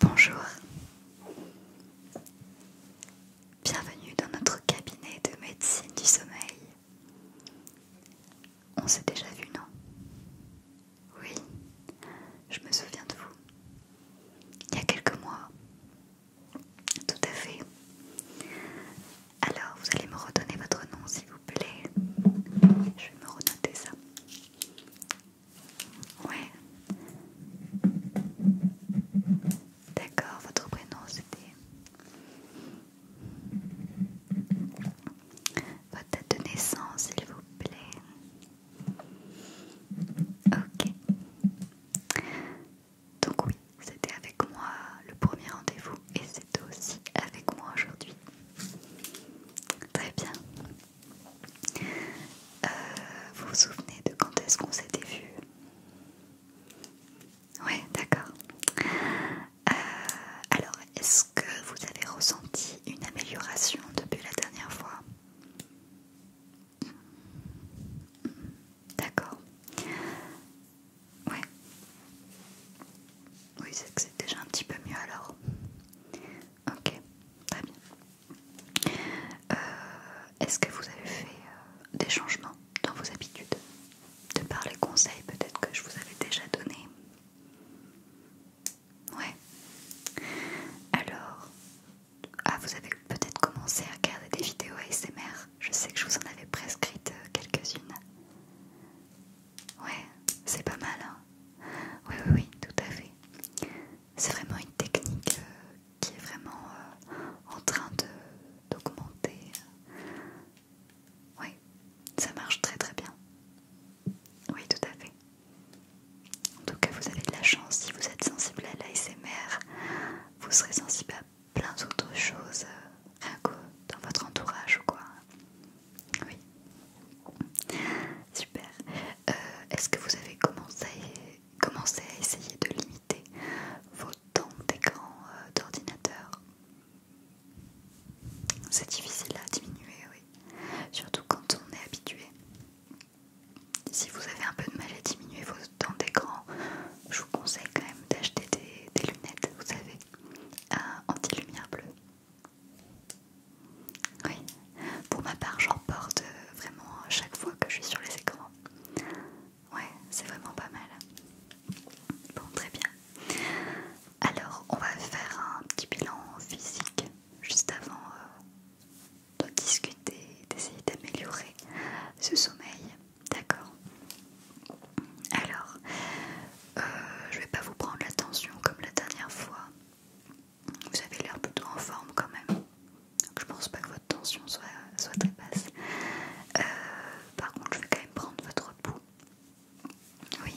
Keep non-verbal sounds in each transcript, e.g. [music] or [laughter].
Bonjour, bienvenue dans notre cabinet de médecine du sommeil. On s'est déjà vu, non Oui, je me souviens de vous. Il y a quelques mois. Tout à fait. Alors, vous allez me redonner votre nom, s'il vous plaît. Je vais me renoter ça. Ouais. D'accord, votre prénom c'était. Votre date de naissance, s'il vous plaît. Ok. Donc oui, c'était avec moi le premier rendez-vous et c'est aussi avec moi aujourd'hui. Très bien. Euh, vous vous souvenez de quand est-ce qu'on s'était vu Oui, d'accord. Euh, alors, est-ce que vous avez ressenti une amélioration depuis la dernière fois D'accord. Ouais. Oui, c'est que c'est déjà un petit peu mieux alors. Ok, très bien. Euh, est-ce que vous avez fait euh, des changements dans vos habitudes De par les conseils peut-être que je vous avais déjà donnés Ouais. Alors, ah, vous avez peut-être commencé à regarder des vidéos ASMR je sais que je vous en avais prescrite euh, quelques-unes. Ouais, c'est pas mal. oui, hein. oui, oui, tout à fait. C'est vraiment une technique euh, qui est vraiment euh, en train d'augmenter. Oui, ça marche très très bien. Oui, tout à fait. En tout cas, vous avez de la chance si vous êtes sensible à l'ASMR. Vous serez sensible à plein d'autres choses euh, dans votre entourage ou quoi. Oui. Super. Euh, est-ce que vous avez commencé, commencé à essayer de limiter vos temps d'écran euh, d'ordinateur C'est difficile à diminuer, oui. Surtout quand on est habitué. Si vous avez un peu de mal à diminuer vos des d'écran, je vous conseille quand même d'acheter des, lunettes, vous savez, euh, anti-lumière bleue. Oui, pour ma part, j'en porte euh, vraiment chaque fois que je suis sur les écrans. Ouais, c'est vraiment pas mal. Bon, très bien. Alors, on va faire un petit bilan physique juste avant euh, de discuter, d'essayer d'améliorer ce sommeil. D'accord. Alors, je euh, je vais pas vous prendre la tension comme la dernière fois. Vous avez l'air plutôt en forme quand même. Donc je pense pas que votre tension soit, très basse. Euh, par contre, je vais quand même prendre votre pouls. Oui.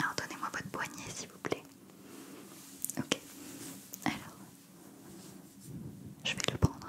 Alors donnez-moi votre poignet s'il vous plaît. Ok. Alors, je vais le prendre.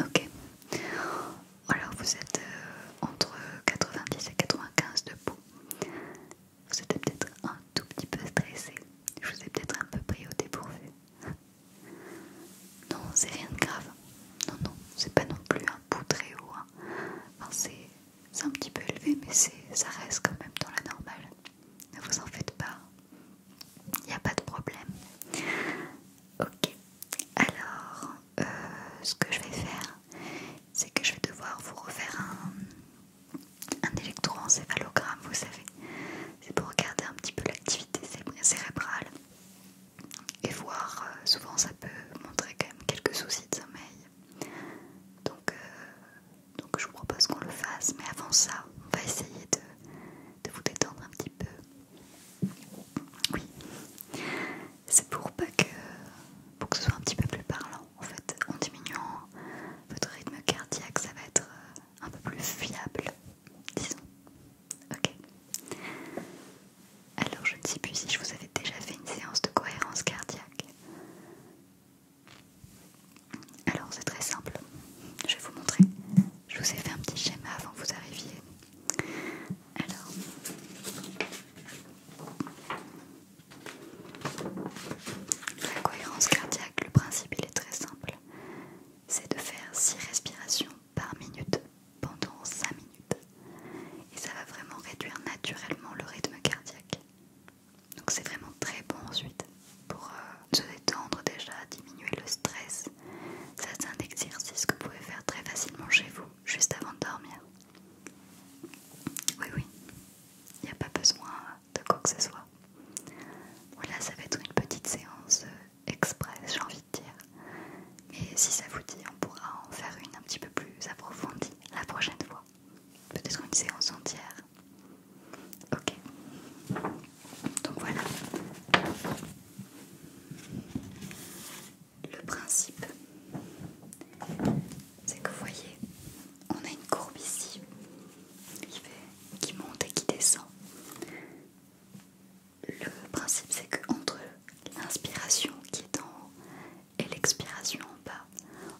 Ok, alors vous êtes euh, entre 90 et 95 de peau. Vous êtes peut-être un tout petit peu stressé. Je vous ai peut-être un peu pris au dépourvu. Non, c'est rien de grave. Non, non, c'est pas non plus un bout très haut. Hein. c'est un petit peu élevé, mais ça reste quand même dans la normale. Ne vous en faites pas. Il n'y a pas de problème. Ok. Alors, euh, ce que je vais faire, c'est que je vais devoir vous refaire un, électroencéphalogramme, vous savez. C'est pour regarder un petit peu l'activité cérébrale et voir. Euh, souvent, ça peut montrer quand même quelques soucis de sommeil. Donc, euh, donc je vous propose qu'on le fasse, mais avant ça, on va essayer de, vous détendre un petit peu. Oui, c'est pour pas que, pour que ce soit un petit peu plus parlant. En fait, en diminuant votre rythme cardiaque, ça va être euh, un peu plus fiable, disons. Ok. Alors je ne sais plus si je vous avais déjà fait une séance de cohérence cardiaque. Alors c'est très simple, je vais vous montrer. Je vous ai fait un petit schéma avant que vous arriviez. Alors, la cohérence cardiaque, le principe il est très simple. C'est de faire 6 respirations par minute pendant 5 minutes. Et ça va vraiment réduire naturellement le rythme cardiaque. Donc c'est vraiment très bon ensuite pour euh, se détendre déjà, diminuer le stress. c'est un exercice que vous pouvez faire très facilement chez vous, juste avant de dormir. Oui oui, il n'y a pas besoin de quoi que ce soit. Voilà, ça va être une petite séance euh, express, j'ai envie de dire. Et si ça vous dit, on pourra en faire une un petit peu plus approfondie la prochaine fois peut-être une séance entière. Ok. Donc voilà. Le principe, c'est que vous voyez, on a une courbe ici qui, monte et qui descend. Le principe, c'est que entre l'inspiration qui est en et l'expiration en bas.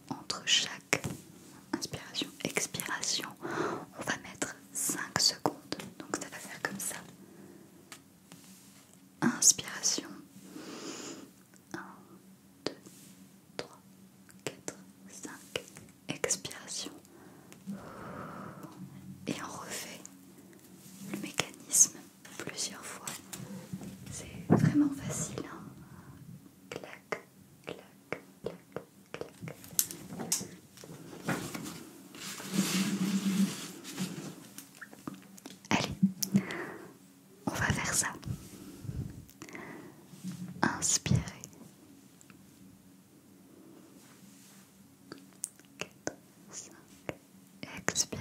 Entre chaque inspiration, expiration, on va mettre 5 secondes. Donc ça va faire comme ça. Inspiration. 1, 2, 3, 4, 5. Expiration. Et on refait le mécanisme plusieurs fois. C'est vraiment facile. Hein. Clac, Allez, on va faire ça. Inspirez. 4, 5. Expirez.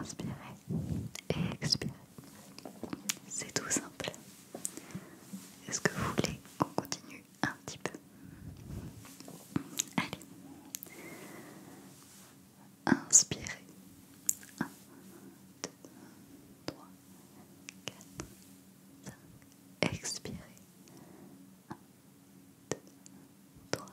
Inspirez et expirez. C'est tout simple. Est-ce que vous voulez qu'on continue un petit peu Allez. Inspirez. 1, 2, 3, 4, 5. Expirez. 1, 2, 3, 4, 5.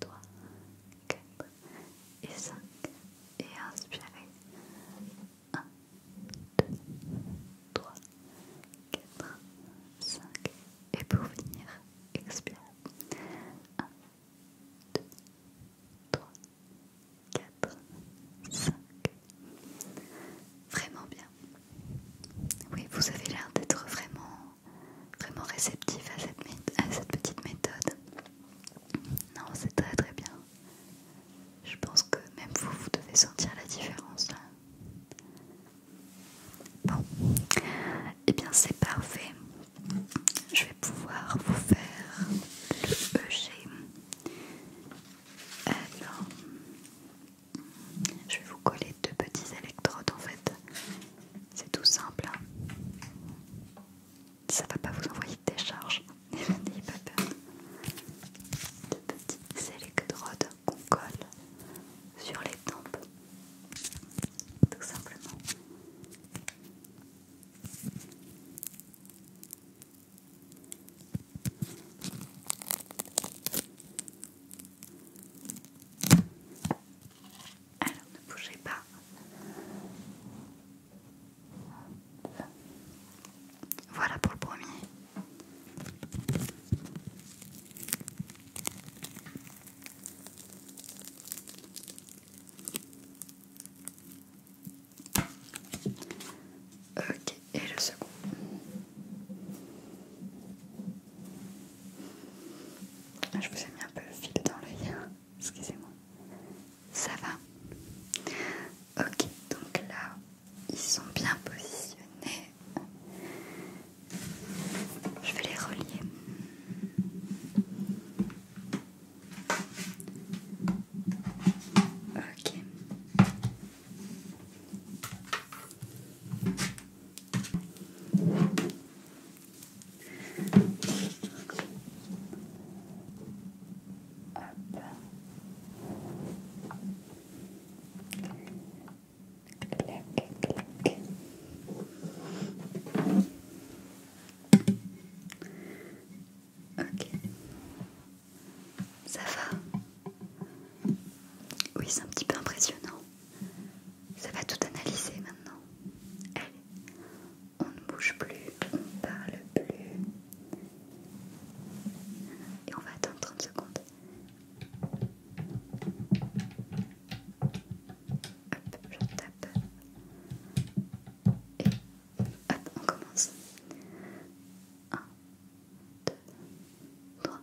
3, 4 et 5 et inspirez 1, 2, 3, 4, 5 et pour finir expirez 1, 2, 3, 4, 5 Vraiment bien. Oui, vous avez l'air d'être vraiment vraiment réceptif à cette, à cette petite méthode. Non, c'est très très bien. Je pense que même vous, vous devez sentir la différence Bon, et eh bien c'est parfait. Je vais pouvoir vous faire le EG. Alors, je vais vous coller deux petits électrodes en fait c'est tout simple. ça hein. Ça va pas vous envoyer de décharge. [laughs] N'ayez pas peur. De petits qu'on colle sur les tempes. Tout simplement. Alors ne bougez pas. Voilà pour le premier. Ok, et le second. Je vous ai mis un peu le fil dans l'œil, hein. excusez-moi. Ça va Ok, donc là, ils sont bien positionnés. Je vais les relier. Ok. Ok. Ça va Oui, c'est un petit peu impressionnant. Ça va tout analyser maintenant. Allez, on ne bouge plus, on ne parle plus. Et on va attendre 30 secondes. Hop, je tape. Et hop, on commence. 1, 2, 3,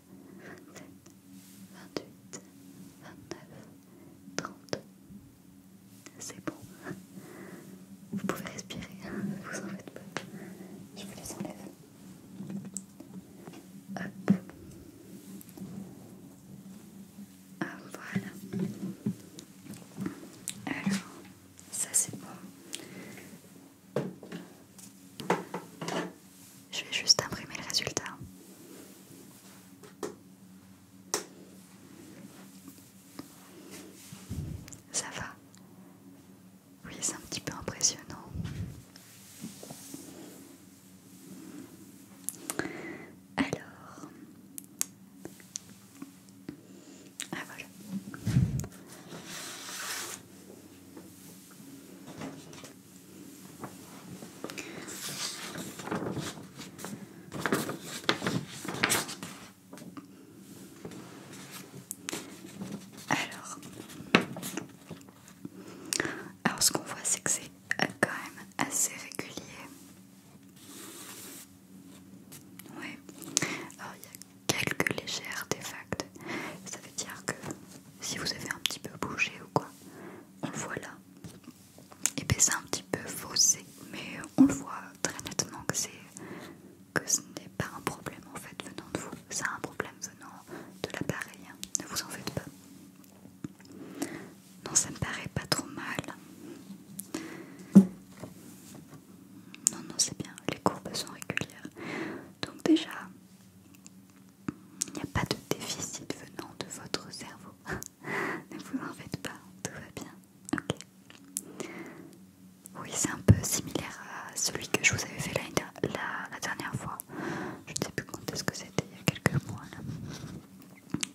27, 28, 29, 30. C'est bon. Vous pouvez respirer, hein, vous en faites pas. Je vous les enlève. Hop. Ah, voilà. Alors, ça c'est bon. Je vais juste imprimer le résultat. Ça va Oui, c'est un petit peu impressionnant. Alors... Ah voilà. Alors, alors ce qu'on voit c'est que c'est euh, quand même assez régulier. Oui quelques légères artefacts. Ça veut dire que si vous avez un petit peu bougé ou quoi, on le voit là. Et bien c'est un petit peu faussé, mais on le voit très nettement que c'est que ce n'est pas un problème en fait venant de vous, c'est un problème venant de l'appareil. Hein. Ne vous en faites pas. Non, ça me paraît pas trop mal. Non, non, c'est bien. Les courbes sont régulières. Donc déjà, il n'y a pas de déficit venant de votre cerveau. [laughs] ne vous en faites pas, tout va bien. Ok. Oui, c'est un peu similaire à celui que je vous avais fait la, dernière fois. Je ne sais plus quand ce que c'était, il y a quelques mois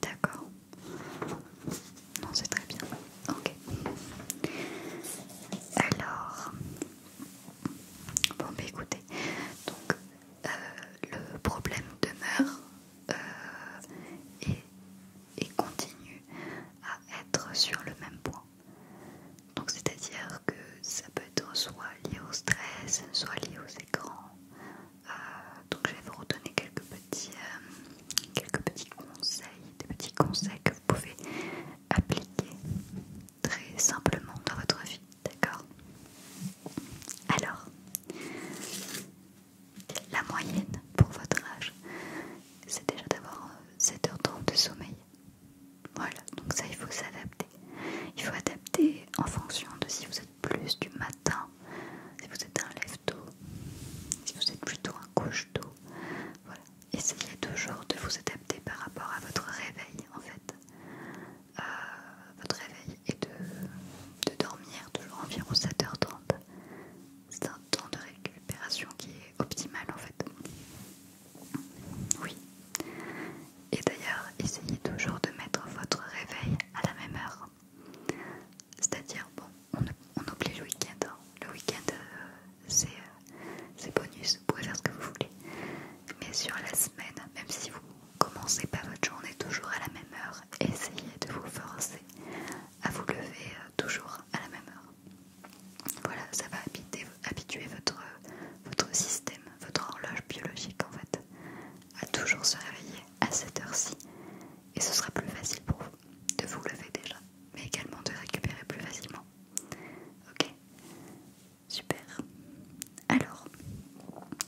D'accord. Non, c'est très bien. Ok. Alors, Bon, bah écoutez, donc euh, le problème demeure euh, et, continue à être sur le même point. Donc, c'est-à-dire que ça peut être soit lié au stress, soit lié aux écrans. Euh, donc, je vais vous redonner quelques petits, quelques petits conseils, des petits conseils que vous pouvez appliquer très simplement dans votre vie, d'accord Alors, la moyenne pour votre âge, c'est déjà d'avoir 7 euh, h de sommeil. Voilà, donc ça il faut s'adapter. Il faut adapter en fonction de si vous êtes plus du matin, si vous êtes un lève-tôt, si vous êtes plutôt un couche-tôt. Voilà, essayez toujours de vous adapter par rapport à votre réveil en fait. Euh, votre réveil est de, dormir toujours environ 7h30. C'est un temps de récupération qui est optimal en fait. Oui. Et d'ailleurs, essayez toujours de mettre votre réveil à la même heure. C'est-à-dire, bon, on, oublie le week-end. Hein. Le week-end, euh, euh, c'est bonus, vous pouvez faire ce que vous voulez. Mais sur la semaine, même si vous commencez pas votre journée toujours à la même heure, essayez de vous forcer à vous lever euh, toujours à la même heure. Voilà, ça va habituer votre, votre système, votre horloge biologique en fait, à toujours se réveiller à cette heure-ci. Et ce sera plus facile pour vous de vous lever déjà, mais également de récupérer plus facilement. Ok Super. Alors,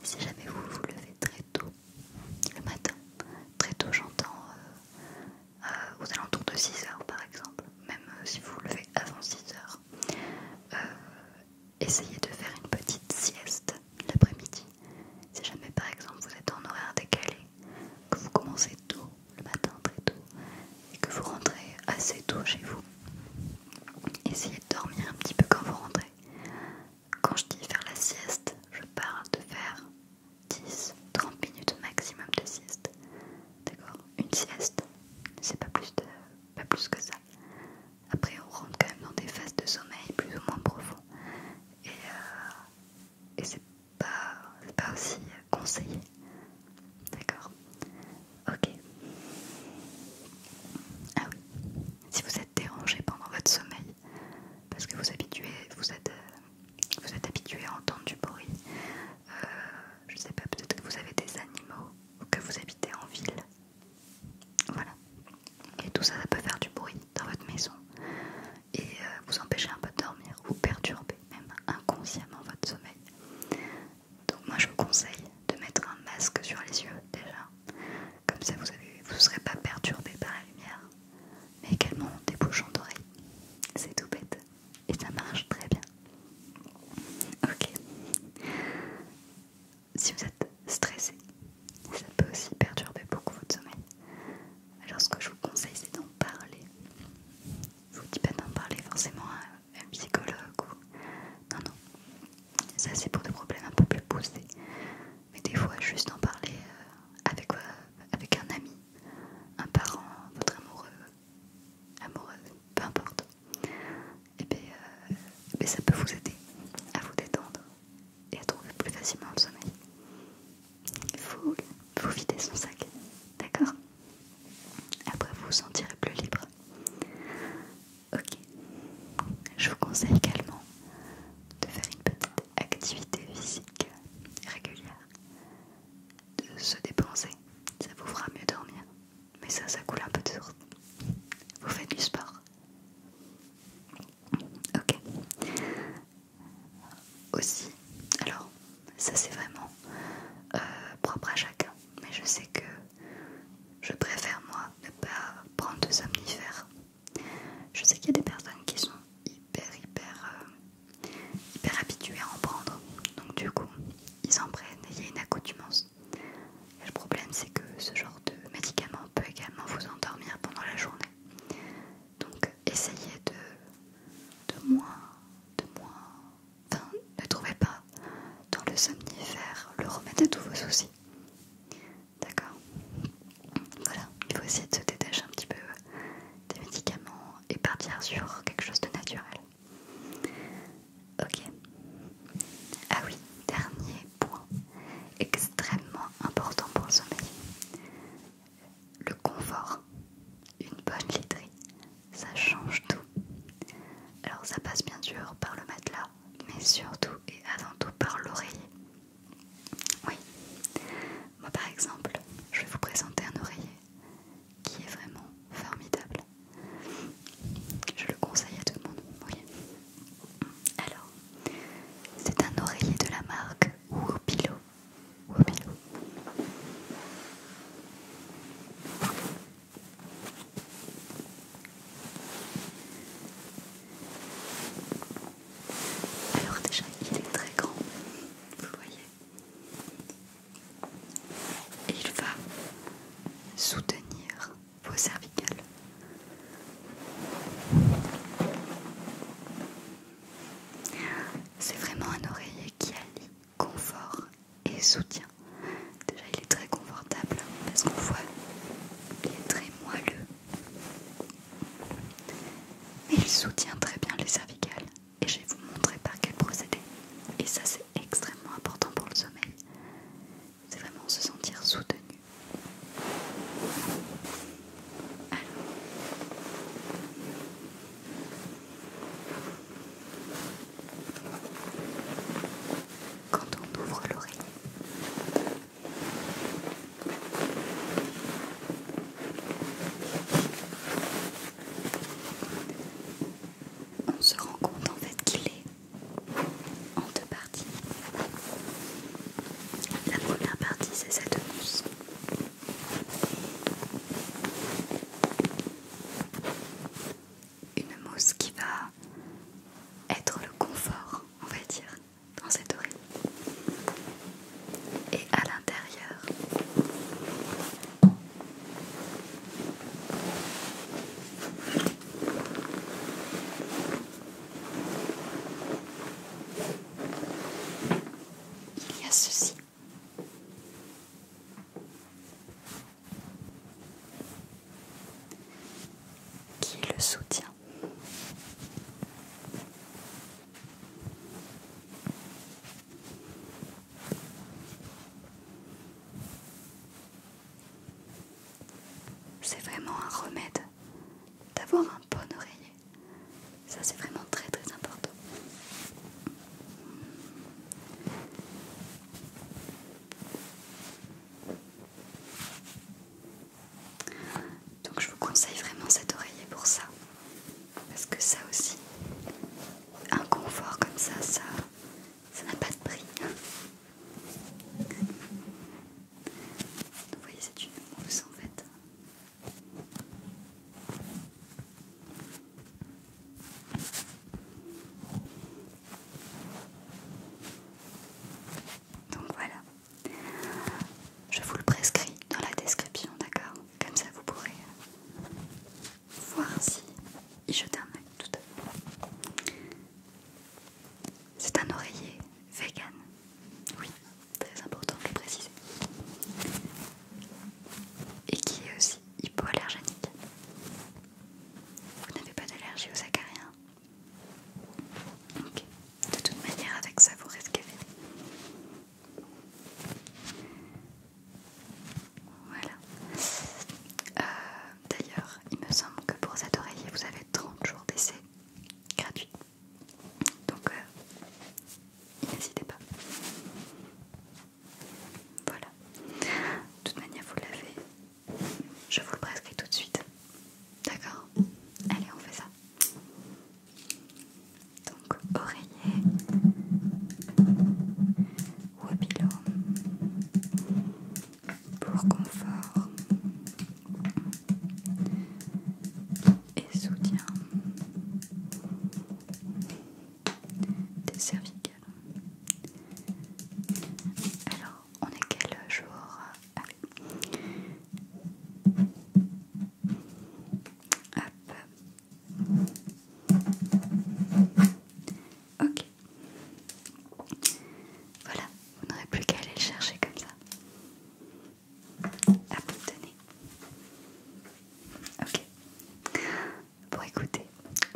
si jamais vous vous levez très tôt le matin, très tôt j'entends euh, euh, aux alentours de 6h par exemple, même euh, si vous vous levez avant 6h, essayez de faire une petite sieste l'après-midi. Si jamais par exemple vous êtes en horaire décalé, que vous commencez tôt le matin très tôt et que vous rentrez assez tôt chez vous. Essayez de dormir un petit peu quand vous rentrez. Quand je dis faire la sieste, je parle de faire 10-30 minutes maximum de sieste. D'accord Une sieste, c'est pas plus de, plus que ça. Après on rentre quand même dans des phases de sommeil plus ou moins profond. Et, euh, et c'est pas, pas aussi conseillé D'accord Ok. Ah oui. Si vous êtes dérangé pendant votre sommeil, parce que vous, euh, vous êtes, habitué à entendre du bruit, euh, je sais pas, peut-être que vous avez des animaux ou que vous habitez en ville. Voilà. Et tout ça, ça peut faire du bruit dans votre maison et euh, vous empêcher un peu de dormir, vous perturber même inconsciemment votre sommeil. Donc moi je vous conseille de mettre un masque sur les yeux déjà. Comme ça vous ne serez pas perturbé par la lumière. Mais également des bouchons d'oreilles. C'est tout bête. Et ça marche très bien. Ok. Si vous êtes stressé, ça peut aussi perturber beaucoup votre sommeil. Alors ce que je vous conseille c'est d'en parler. Je vous dis pas d'en parler forcément un psychologue ou... Non, non. Ça c'est pour des problèmes un peu plus poussés. Mais des fois, juste en parler euh, avec, euh, avec un ami, un parent, votre amoureux, amoureuse, peu importe. Et eh bien, euh, ben, ça peut vous aider à vous détendre et à trouver plus facilement le sommeil. Il faut, faut vider son sac, d'accord après, vous vous sentirez plus libre. Ok. Je vous conseille également de faire une petite activité physique régulière, de se dépenser. Ça vous fera mieux dormir. Mais ça, ça coule un peu de source. Vous faites du sport. Ok. Aussi, alors, ça c'est vraiment euh, propre à chacun mais je sais que je préfère moi ne pas prendre de somnifères. Je sais qu'il y a des personnes qui sont hyper hyper euh, hyper habituées à en prendre, donc du coup ils en prennent et il y a une accoutumance. le problème c'est que ce genre de médicament peut également vous endormir pendant la journée. Donc essayez de, de moins de moins ne trouvez pas dans le somnifère le remède à tous vos soucis. D'accord Voilà, il faut essayer de se détacher un petit peu euh, des médicaments et partir sur quelque chose de naturel. Ok. Ah oui, dernier point extrêmement important pour le sommeil. Le confort, une bonne literie, ça change tout. Alors ça passe bien sûr par le matelas, mais surtout et avant tout par l'oreiller. Oui, moi par exemple, je vais vous présenter un oreiller qui est vraiment formidable. Je le conseille à tout le monde. Oui. Alors, c'est un oreiller de la marque Wopilo. Alors déjà, il est très grand, vous voyez. Et il va soutenir vos cervicales. C'est vraiment un oreiller qui allie confort et soutien. Déjà, il est très confortable parce qu'on voit, il est très moelleux. Mais il soutient très bien les cervicales et je vais vous montrer par quel procédé. Et ça, c'est extrêmement important pour le sommeil. C'est vraiment se sentir soutenu. Alors. Quand on ouvre l'oreille, on se rend compte en fait qu'il est en deux parties. La première partie, c'est cette mousse une mousse qui va être le confort, on va dire, dans cette oreille. Et à l'intérieur, il y a ceci qui le soutient. C'est vraiment un remède d'avoir un bon oreiller. Ça c'est vraiment très très important. Donc je vous conseille vraiment cet oreiller pour ça. Parce que ça aussi, un confort comme ça, ça n'a pas de prix. Vous voyez, c'est une mousse en fait. Donc voilà. Je vous le prescris dans la description, d'accord Comme ça vous pourrez voir si je termine un tout C'est un oreiller vegan. Oui, très important de le préciser et qui est aussi hypoallergénique. Vous n'avez pas d'allergie aux acariens Ok. De toute manière, avec ça, vous risquez Voilà. Euh, d'ailleurs, il me semble que pour cet oreiller, vous avez 30 jours d'essai gratuit. Donc, euh, n'hésitez pas. Voilà. De toute manière, vous l'avez. Je vous le prescris tout de suite. D'accord Allez, on fait ça. Donc, oreiller ou pour confort et soutien des cervicales. Alors, on est quel jour Hop. Ok. Voilà, vous n'aurez plus qu'à aller le chercher comme ça. Hop, tenez. Ok pour écouter.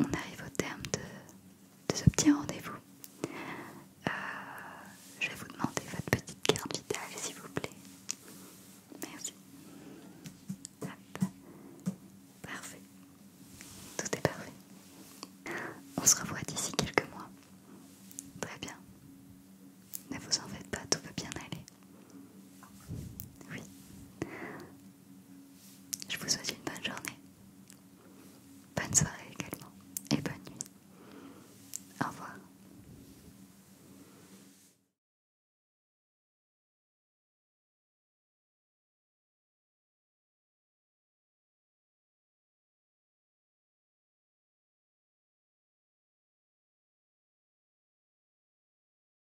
On arrive au terme de, ce petit rendez-vous. Euh, je vais vous demander votre petite carte vitale, s'il vous plaît. Merci. Hop. Parfait. Tout est parfait. On se revoit d'ici quelques mois. Très bien. Ne vous en faites pas, tout va bien aller. Oui. Je vous souhaite une bonne journée. Bonne soirée également. Et bonne nuit. Au revoir.